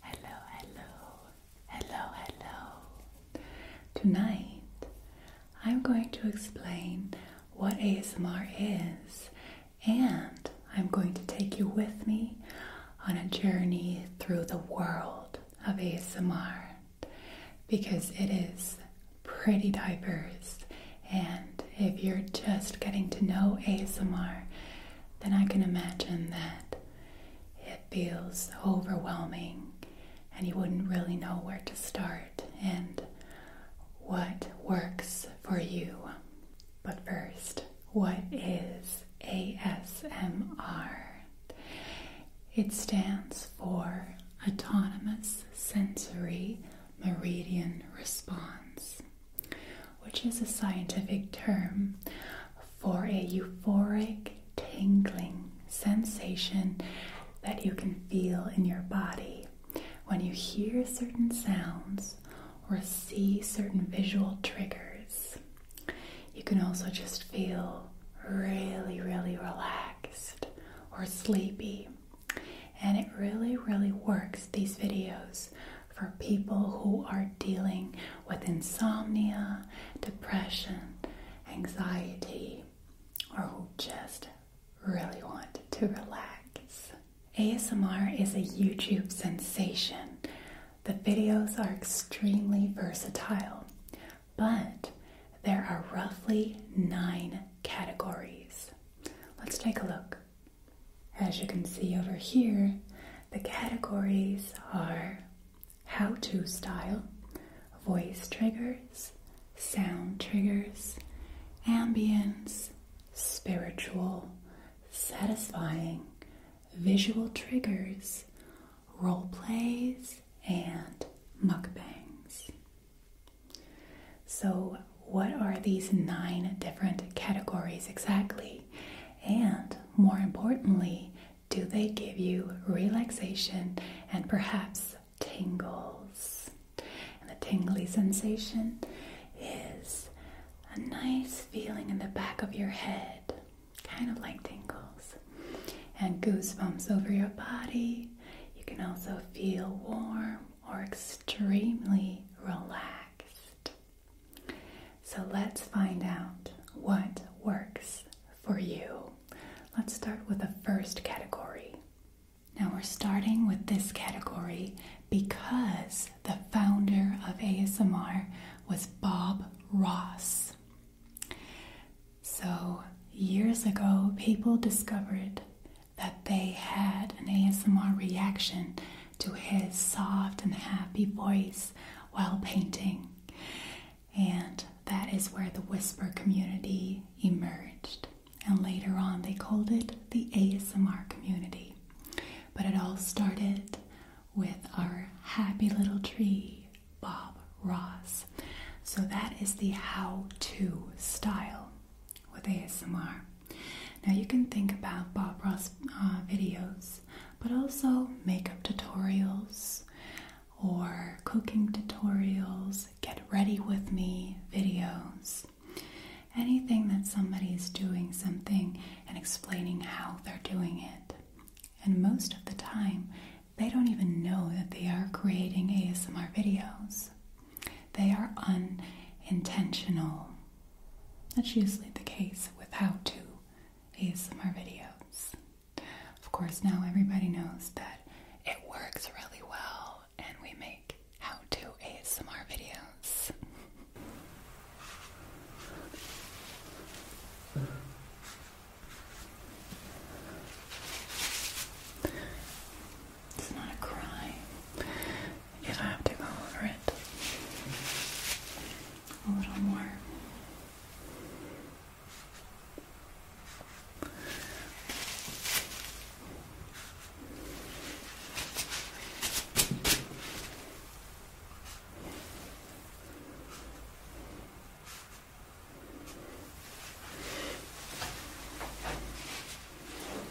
Hello, hello, hello, hello. Tonight I'm going to explain what ASMR is, and I'm going to take you with me on a journey through the world of ASMR because it is pretty diverse. And if you're just getting to know ASMR, then I can imagine that it feels overwhelming and you wouldn't really know where to start and what works for you. But first, what is ASMR? It stands for Autonomous Sensory Meridian Response which is a scientific term for a euphoric tingling sensation that you can feel in your body when you hear certain sounds or see certain visual triggers. You can also just feel really, really relaxed or sleepy. And it really, really works, these videos, for people who are dealing with insomnia, depression, anxiety, or who just really want to relax. ASMR is a YouTube sensation. The videos are extremely versatile, but there are roughly nine categories. Let's take a look. As you can see over here, the categories are how to style, voice triggers, sound triggers, ambience, spiritual, satisfying, visual triggers, role plays, and mukbangs. So what are these nine different categories exactly? And more importantly, do they give you relaxation and perhaps tingles? And the tingly sensation is a nice feeling in the back of your head, kind of like tingles, and goosebumps over your body. You can also feel warm or extremely relaxed. So let's find out what works for you. Let's start with the first category. Now we're starting with this category because the founder of ASMR was Bob Ross. So years ago, people discovered that they had an ASMR reaction to his soft and happy voice while painting. And that is where the whisper community emerged. And later on, they called it the ASMR community. But it all started with our happy little tree, Bob Ross. So that is the how to style with ASMR. Now you can think about Bob Ross uh, videos, but also makeup tutorials or cooking tutorials, get ready with me videos. Anything that somebody is doing something and explaining how they're doing it. And most of the time, they don't even know that they are creating ASMR videos. They are unintentional. That's usually the case with how to ASMR videos. Of course, now everybody knows that it works really well and we make how to ASMR videos. It's not a crime you do have to go over it. A little more.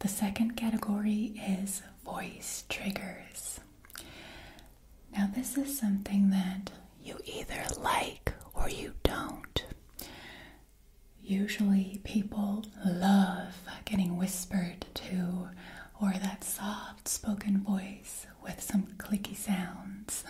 The second category is voice triggers. Now, this is something that you either like or you don't. Usually, people love getting whispered to or that soft spoken voice with some clicky sounds.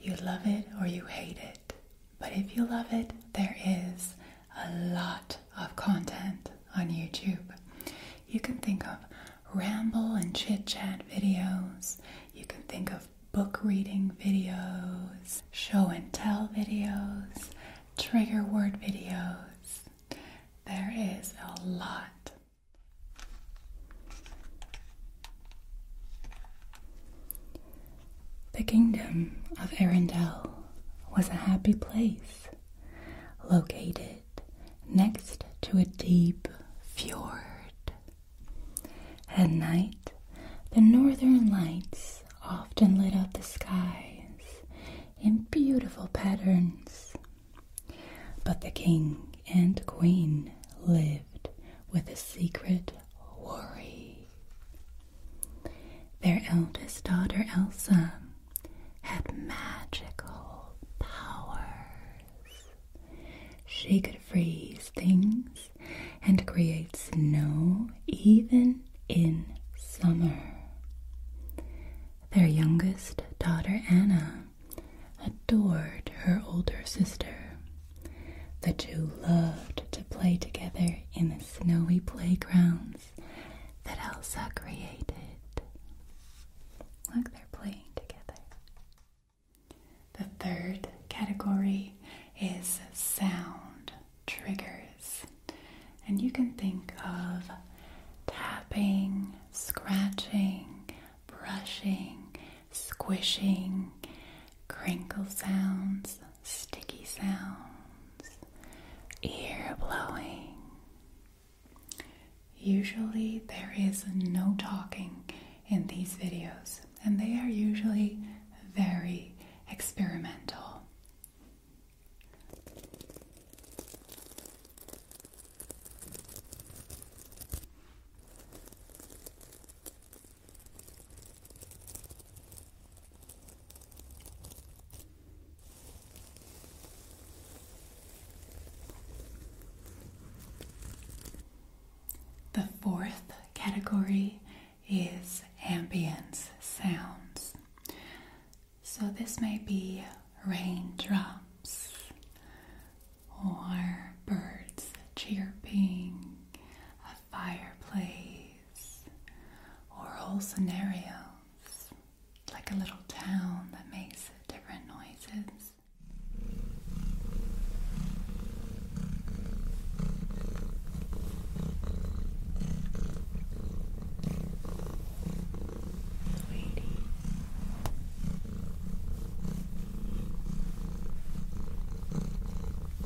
You love it or you hate it. But if you love it, there is a lot of content on YouTube. You can think of ramble and chit chat videos, you can think of book reading videos, show and tell videos, trigger word videos. There is a lot. The kingdom of Arendelle was a happy place, located next to a deep fjord. At night, the northern lights often lit up the skies in beautiful patterns. But the king and queen lived with a secret worry. Their eldest daughter Elsa had magical powers. She could freeze things and create snow even in summer. Their youngest daughter Anna adored her older sister. The two loved to play together in the snowy playgrounds that Elsa created. Look, they're playing together. The third category is sound triggers. And you can think of tapping, scratching, brushing, squishing, crinkle sounds, sticky sounds, ear blowing. Usually, there is no talking in these videos, and they are usually very experimental. The fourth category is ambience sounds. So this may be raindrops or birds chirping, a fireplace or whole scenarios, like a little town that makes different noises. Sweetie.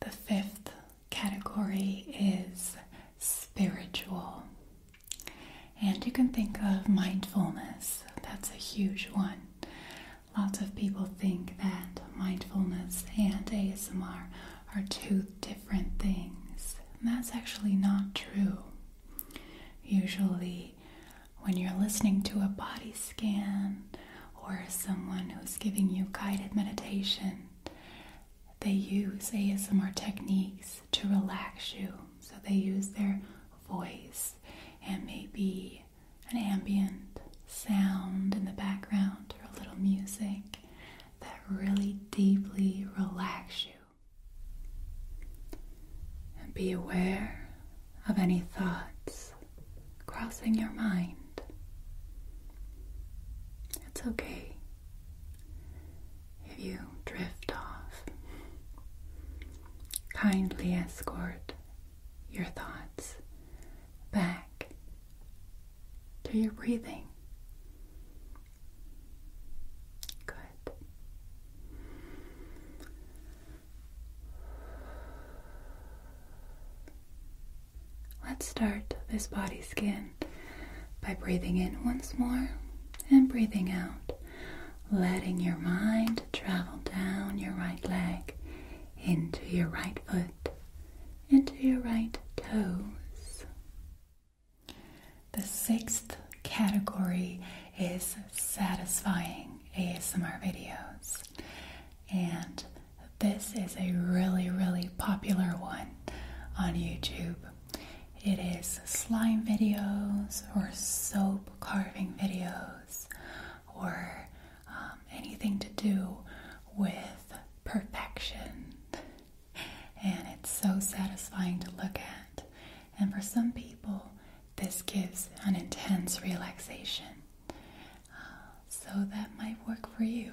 The fifth category is spiritual. And you can think of mindfulness, that's a huge one. Lots of people think that mindfulness and ASMR are two different things, and that's actually not true. Usually, when you're listening to a body scan or someone who's giving you guided meditation, they use ASMR techniques to relax you. So they use their voice and maybe an ambient sound in the background or a little music that really deeply relax you. And be aware of any thoughts crossing your mind. It's okay if you drift off. Kindly escort your thoughts back to your breathing. Good. Let's start this body scan by breathing in once more and breathing out, letting your mind travel down your right leg into your right foot, into your right toes. The sixth category is satisfying ASMR videos, and this is a really, really popular one on YouTube. It is slime videos or soap carving videos or um, anything to do with perfection. And it's so satisfying to look at. And for some people, this gives an intense relaxation. Uh, so that might work for you.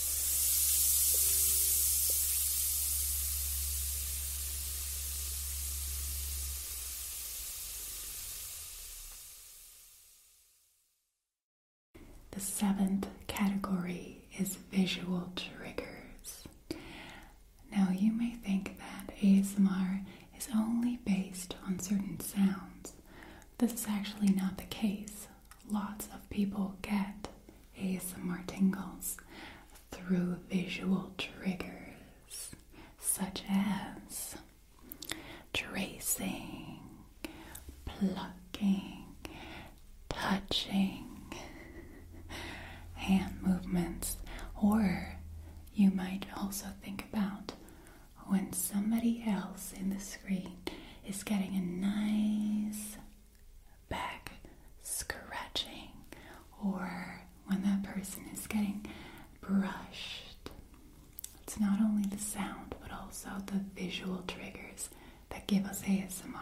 The seventh category is visual triggers. Now, you may think that ASMR is only based on certain sounds. This is actually not the case. Lots of people get ASMR tingles through visual triggers such as tracing, plucking, touching, hand movements, or you might also think about when somebody else in the screen is getting a nice back scratching or when that person is getting brushed. It's not only the sound but also the visual triggers that give us ASMR.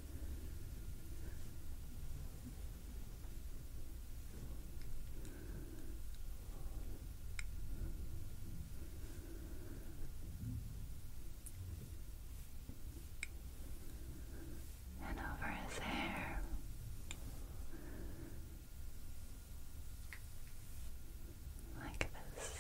and over his hair. Like this,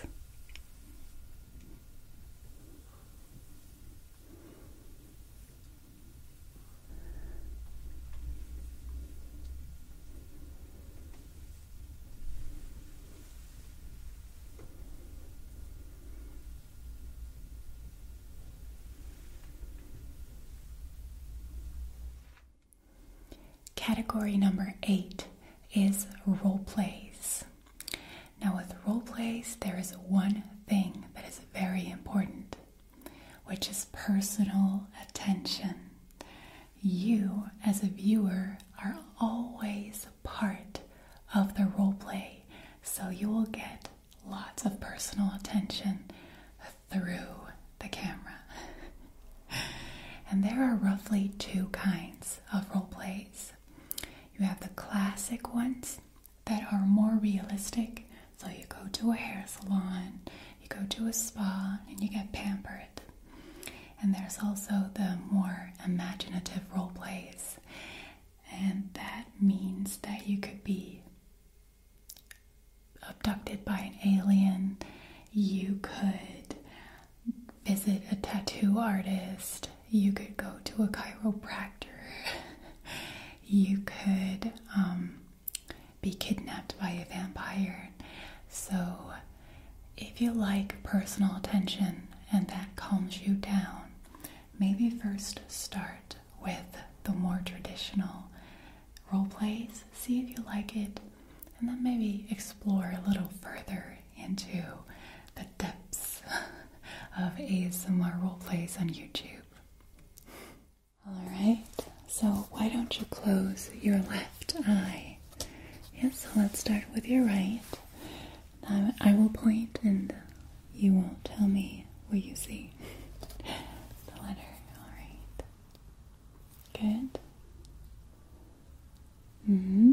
Category number eight is role plays. Now, with role plays, there is one thing that is very important, which is personal attention. You, as a viewer, are always part of the role play, so you will get lots of personal attention through the camera. and there are roughly two kinds of role plays. You have the classic ones that are more realistic. So you go to a hair salon, you go to a spa, and you get pampered. And there's also the more imaginative role plays. And that means that you could be abducted by an alien, you could visit a tattoo artist, you could go to a chiropractor, you could um, be kidnapped by a vampire. So, if you like personal attention and that calms you down, maybe first start with the more traditional role plays, see if you like it, and then maybe explore a little further into the depths of ASMR role plays on YouTube. Alright, so why don't you close your left eye? Yes, so let's start with your right. Now I will point and you won't tell me what you see. the letter, alright. Good. Mm hmm.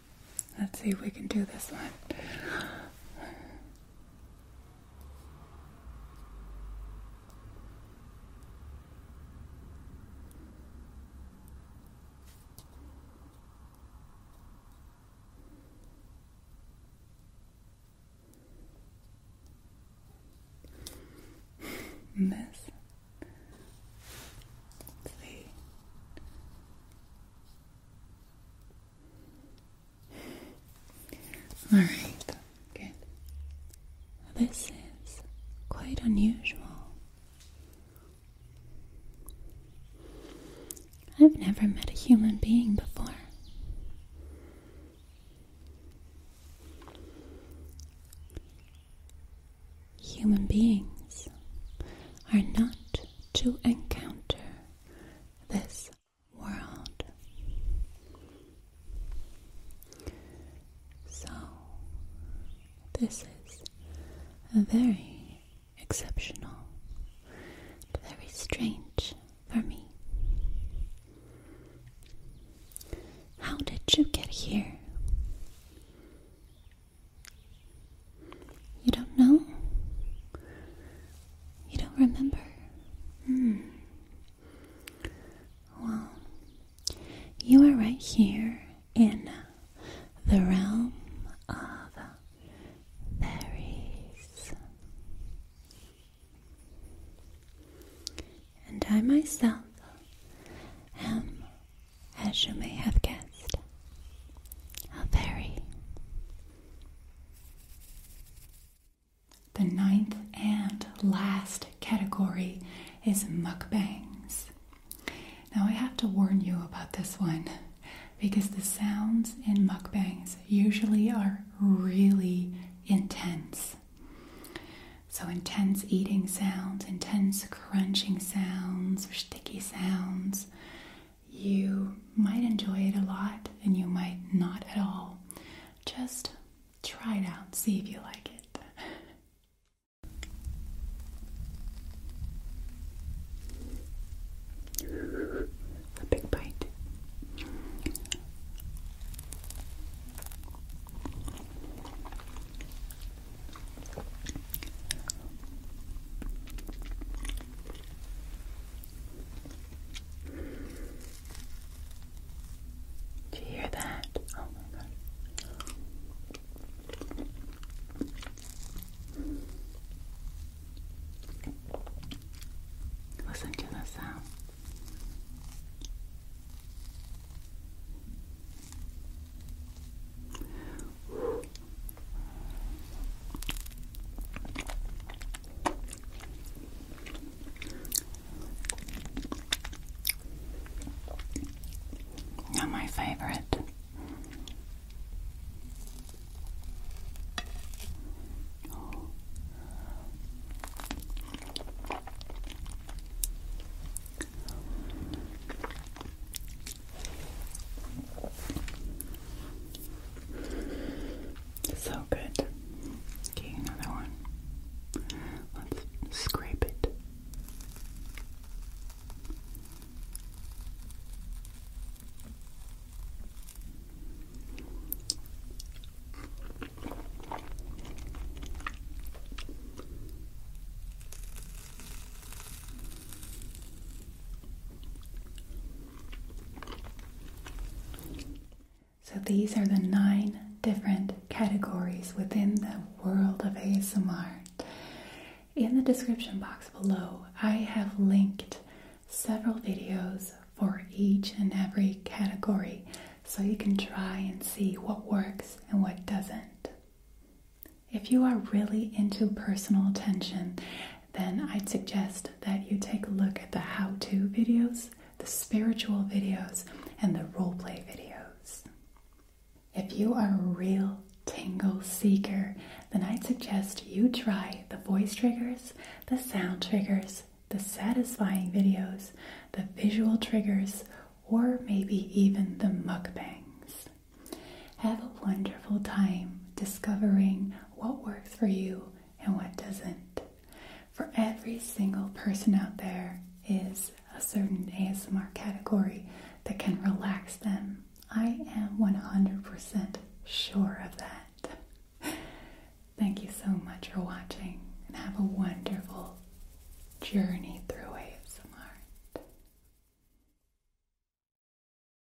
Let's see if we can do this one. this. Let's see. Alright, good. This is quite unusual. I've never met a human being before. Human beings are not to encounter this world. So, this is a very exceptional, very strange for me. How did you get here? You don't know? You don't remember? Hmm. Well, you are right here in the realm of fairies. And I myself am, as you may have guessed, a fairy. The ninth and last category is mukbangs. Now, I have to warn you about this one because the sounds in mukbangs usually are really intense. So, intense eating sounds, intense crunching sounds, or sticky sounds, you might enjoy it a lot and you might not at all. Just try it out, see if you like it. A big bite. Do you hear that? Oh my god. Listen to the sound. Not my favorite. So good. Okay, another one. Let's scrape it. So, these are the nine different categories within the world of ASMR. In the description box below, I have linked several videos for each and every category so you can try and see what works and what doesn't. If you are really into personal attention then I'd suggest that you take a look at the how to videos, the spiritual videos, and the role play videos. If you are a real tingle seeker, then I'd suggest you try the voice triggers, the sound triggers, the satisfying videos, the visual triggers, or maybe even the mukbangs. Have a wonderful time discovering what works for you and what doesn't. For every single person out there is a certain ASMR category that can relax them. I am 100% sure of that. Thank you so much for watching and have a wonderful journey through ASMR.